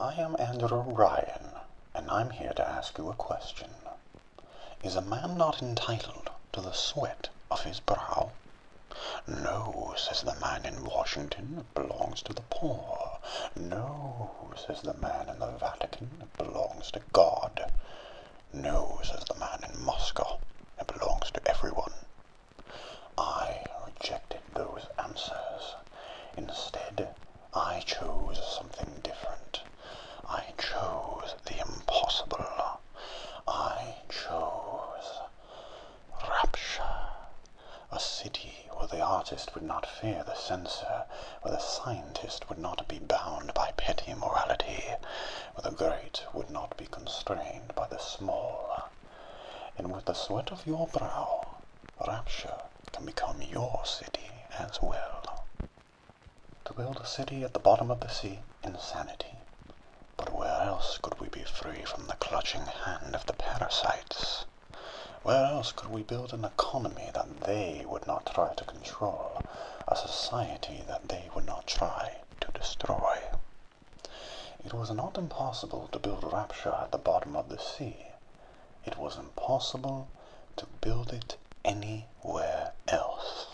I am Andrew Ryan, and I'm here to ask you a question. Is a man not entitled to the sweat of his brow? No, says the man in Washington belongs to the poor. No, says the man in the Vatican, it belongs to God. No, says the man in Moscow, it belongs to everyone. I rejected those answers. Instead, I chose something different. I chose the impossible. I chose Rapture, a city where the artist would not fear the censor, where the scientist would not be bound by petty morality, where the great would not be constrained by the small. And with the sweat of your brow, Rapture can become your city as well. To build a city at the bottom of the sea, insanity. But where else could we be free from the clutching hand of the parasites? Where else could we build an economy that they would not try to control, a society that they would not try to destroy? It was not impossible to build Rapture at the bottom of the sea. It was impossible to build it anywhere else.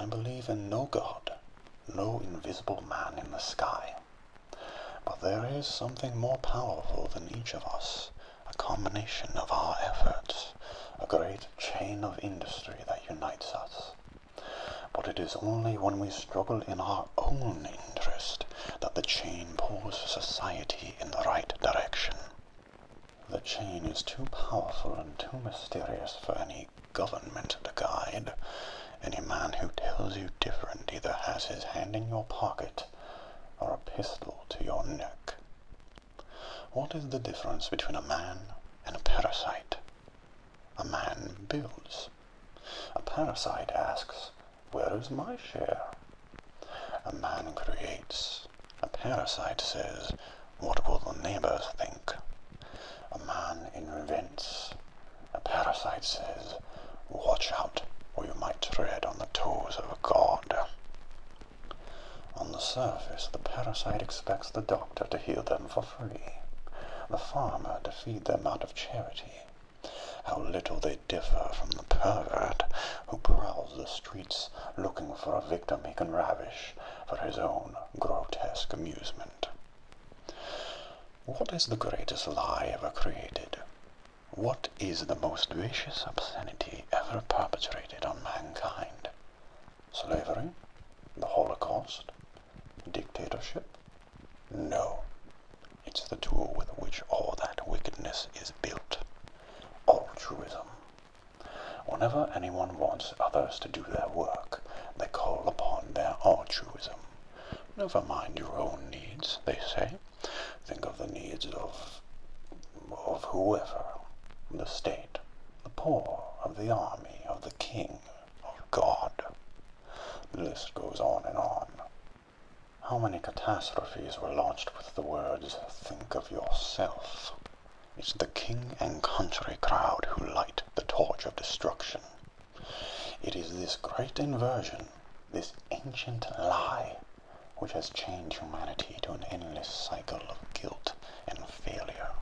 I believe in no God, no invisible man in the sky. But there is something more powerful than each of us, a combination of our efforts, a great chain of industry that unites us. But it is only when we struggle in our own interest that the chain pulls society in the right direction. The chain is too powerful and too mysterious for any any government to guide. Any man who tells you different either has his hand in your pocket or a pistol to your neck. What is the difference between a man and a parasite? A man builds. A parasite asks, Where is my share? A man creates. A parasite says, What will the neighbors think? A man invents. A parasite says, Watch out, or you might tread on the toes of a god. On the surface, the parasite expects the doctor to heal them for free, the farmer to feed them out of charity. How little they differ from the pervert who prowls the streets looking for a victim he can ravish for his own grotesque amusement. What is the greatest lie ever created? What is the most vicious obscenity ever perpetrated on mankind? Slavery? The Holocaust? Dictatorship? No. It's the tool with which all that wickedness is built. Altruism. Whenever anyone wants others to do their work, they call upon their altruism. Never mind your own needs, they say. Think of the needs of, of whoever, the state, the poor, of the army, of the king, of God. The list goes on and on. How many catastrophes were launched with the words, think of yourself? It's the king and country crowd who light the torch of destruction. It is this great inversion, this ancient lie, which has chained humanity to an endless cycle of guilt and failure.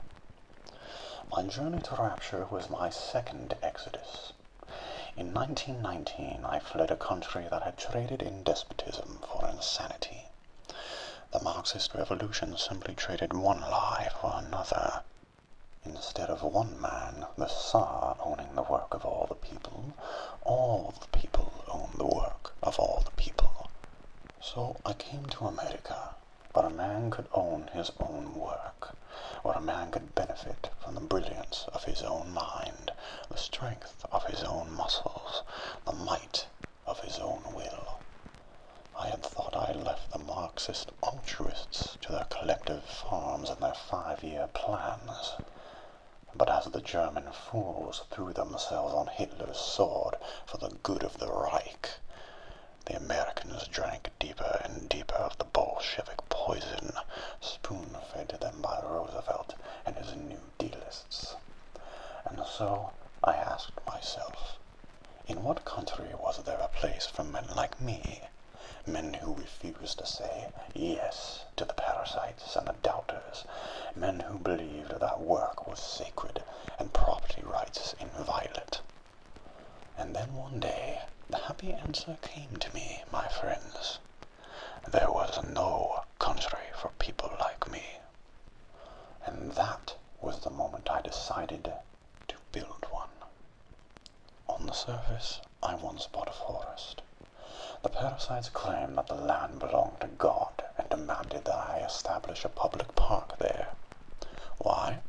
My journey to rapture was my second exodus. In 1919, I fled a country that had traded in despotism for insanity. The Marxist revolution simply traded one lie for another Instead of one man, the Tsar, owning the work of all the people, all the people own the work of all the people. So I came to America, where a man could own his own work, where a man could benefit from the brilliance of his own mind, the strength of his own muscles, the might of his own will. I had thought I had left the Marxist altruists to their collective farms and their five-year plans. But as the German fools threw themselves on Hitler's sword for the good of the Reich, the Americans drank deeper and deeper of the Bolshevik poison spoon-fed to them by Roosevelt and his New Dealists. And so I asked myself, in what country was there a place for men like me? Men who refused to say yes to the parasites and the doubters. Men who believed that work was sacred and property rights inviolate. And then one day, the happy answer came to me, my friends. There was no country for people like me. And that was the moment I decided to build one. On the surface, I once bought a forest. The parasites claimed that the land belonged to God and demanded that I establish a public park there. Why?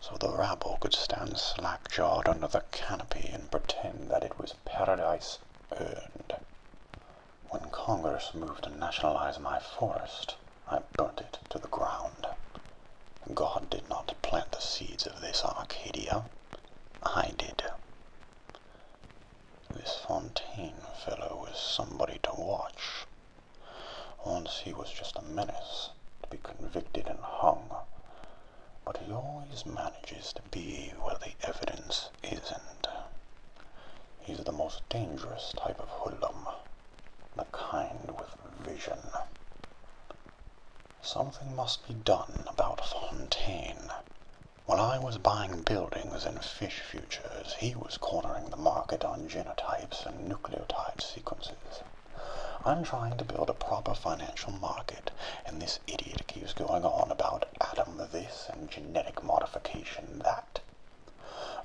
So the rabble could stand slack-jawed under the canopy and pretend that it was paradise earned. When Congress moved to nationalize my forest, I burnt it to the ground. God did not plant the seeds of this Arcadia. I did. This Fontaine fellow is somebody to watch. Once he was just a menace, to be convicted and hung. But he always manages to be where the evidence isn't. He's the most dangerous type of hoodlum the kind with vision. Something must be done about Fontaine. While I was buying buildings and fish futures, he was cornering the market on genotypes and nucleotide sequences. I'm trying to build a proper financial market, and this idiot keeps going on about atom this and genetic modification that.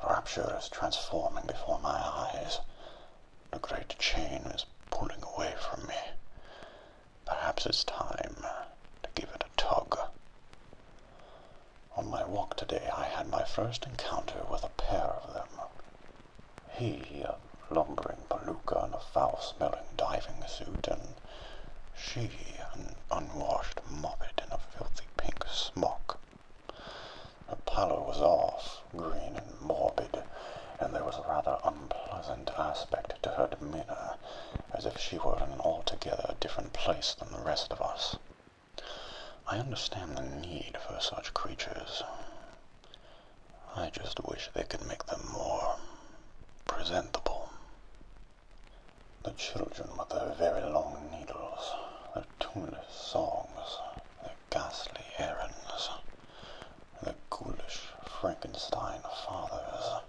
Rapture is transforming before my eyes. A great chain is pulling away from me. Perhaps it's time to give it a tug. On my walk today, I had my first encounter with a pair of them. He, a lumbering peluca in a foul-smelling diving suit, and she, an unwashed moppet in a filthy pink smock. The pallor was off, green and morbid, and there was a rather unpleasant aspect to her demeanour, as if she were in an altogether different place than the rest of us. I understand the need for such creatures. I just wish they could make them more presentable. The children with their very long needles, tumid songs, the ghastly errands, the ghoulish Frankenstein fathers.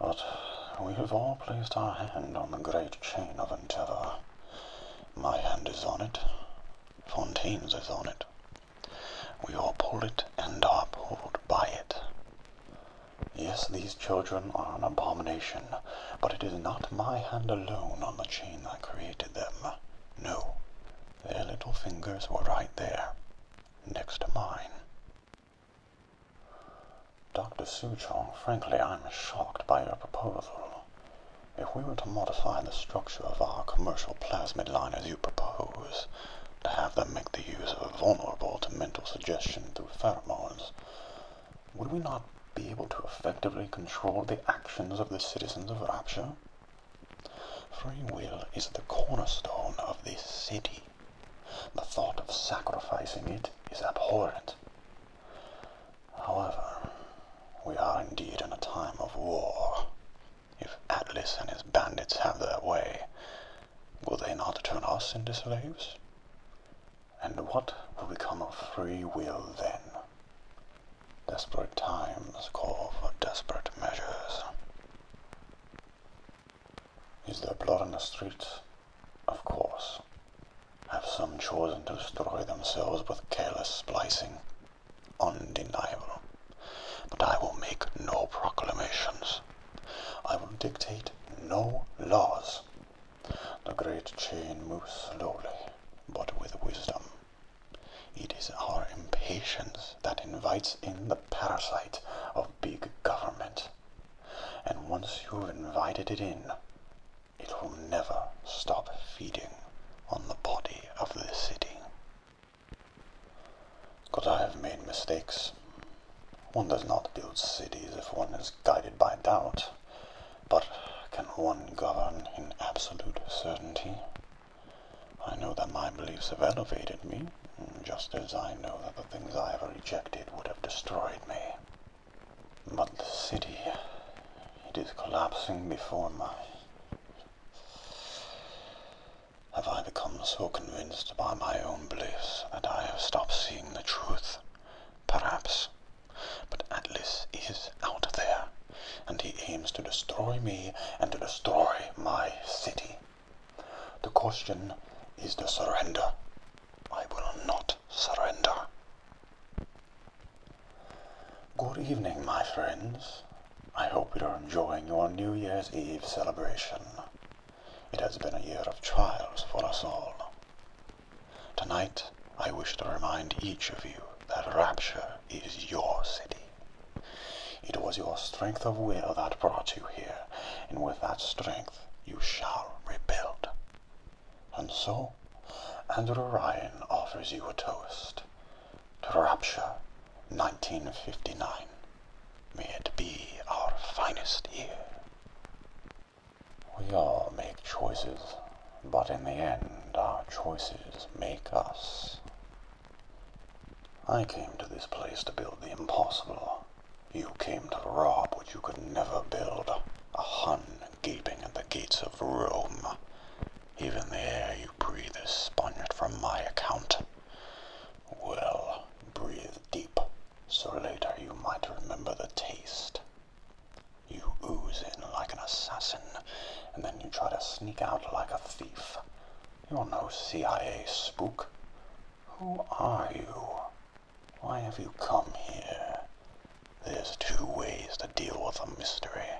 But we have all placed our hand on the great chain of endeavour. My hand is on it. Fontaine's is on it. We all pull it and are pulled by it. Yes, these children are an abomination. But it is not my hand alone on the chain that created them. No, their little fingers were right there, next to mine. Dr. Suchong, frankly, I'm shocked by your proposal. If we were to modify the structure of our commercial plasmid line as you propose, to have them make the use of vulnerable to mental suggestion through pheromones, would we not be able to effectively control the actions of the citizens of Rapture? Free will is the cornerstone of this city. The thought of sacrificing it is abhorrent. However, we are indeed in a time of war. If Atlas and his bandits have their way, will they not turn us into slaves? And what will become of free will then? Desperate times call for desperate measures. Is there blood on the streets? Of course. Have some chosen to destroy themselves with careless splicing? Undeniable. But I will make no proclamations. I will dictate no laws. The great chain moves slowly, but with wisdom. It is our impatience that invites in the parasite of big government. And once you've invited it in, it will never stop feeding on the body of the city. But I have made mistakes? One does not build cities if one is guided by doubt, but can one govern in absolute certainty? I know that my beliefs have elevated me, just as I know that the things I have rejected would have destroyed me. But the city, it is collapsing before my... Have I become so convinced by my own beliefs that I have stopped seeing the truth? perhaps, but Atlas is out there, and he aims to destroy me and to destroy my city. The question is the surrender. I will not surrender. Good evening, my friends. I hope you are enjoying your New Year's Eve celebration. It has been a year of trials for us all. Tonight, I wish to remind each of you that Rapture is your city. It was your strength of will that brought you here, and with that strength you shall rebuild. And so, Andrew Ryan offers you a toast to Rapture 1959. May it be our finest year. We all make choices, but in the end, our choices make us. I came to this place to build the impossible. You came to rob what you could never build. A Hun gaping at the gates of Rome. Even the air you breathe is sponged from my account. Well, breathe deep, so later you might remember the taste. You ooze in like an assassin, and then you try to sneak out like a thief. You're no CIA spook. Who are you? Why have you come here? There's two ways to deal with a mystery.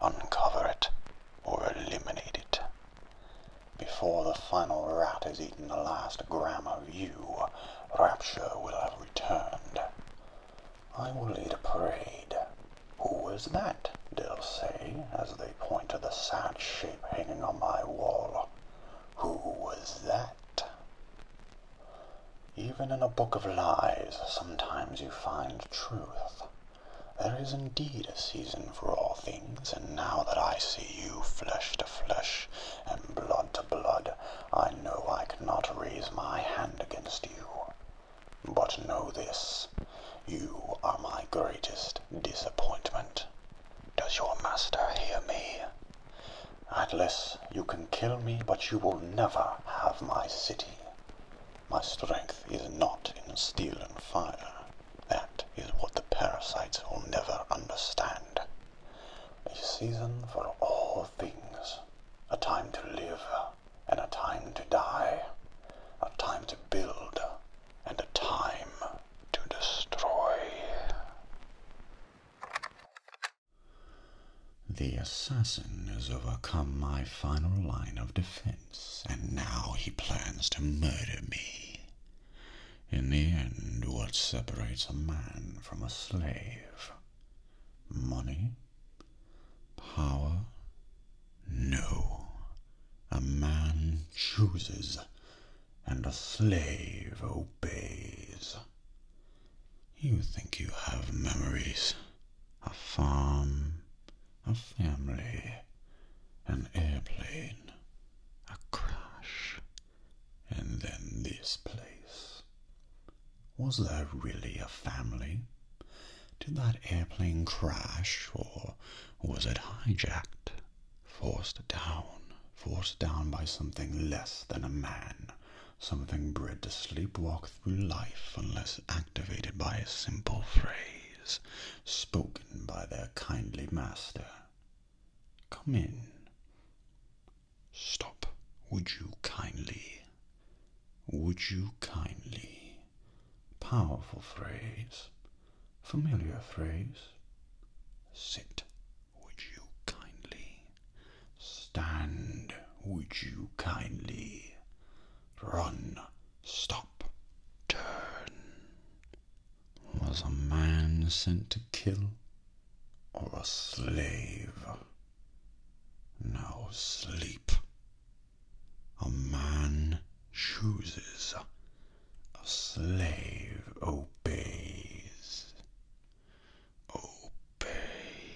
Uncover it, or eliminate it. Before the final rat has eaten the last gram of you, rapture will have returned. I will lead a parade. Who was that? They'll say, as they point to the sad shape hanging on my wall. Who was that? Even in a book of lies, sometimes you find truth. There is indeed a season for all things, and now that I see you flesh to flesh, and blood to blood, I know I cannot raise my hand against you. But know this, you are my greatest disappointment. Does your master hear me? Atlas, you can kill me, but you will never have my city. My strength is not in steel and fire. That is what the parasites will never understand a season for all things, a time to live and a time to die, a time to build and a time to destroy. The assassin has overcome my final line of defense, and now he plans to murder me. In the end, what separates a man from a slave? Money? Power? No. A man chooses, and a slave obeys. You think you have memories, a farm, a family, an airplane, a crash. And then this place. Was there really a family? Did that airplane crash or was it hijacked? Forced down, forced down by something less than a man, something bred to sleepwalk through life unless activated by a simple phrase spoken by their kindly master. Come in. Stop, would you kindly? Would you kindly? Powerful phrase, familiar phrase. Sit, would you kindly? Stand, would you kindly? Run, stop, turn. Was a man sent to kill or a slave? Now sleep. A man chooses, a slave obeys. Obey.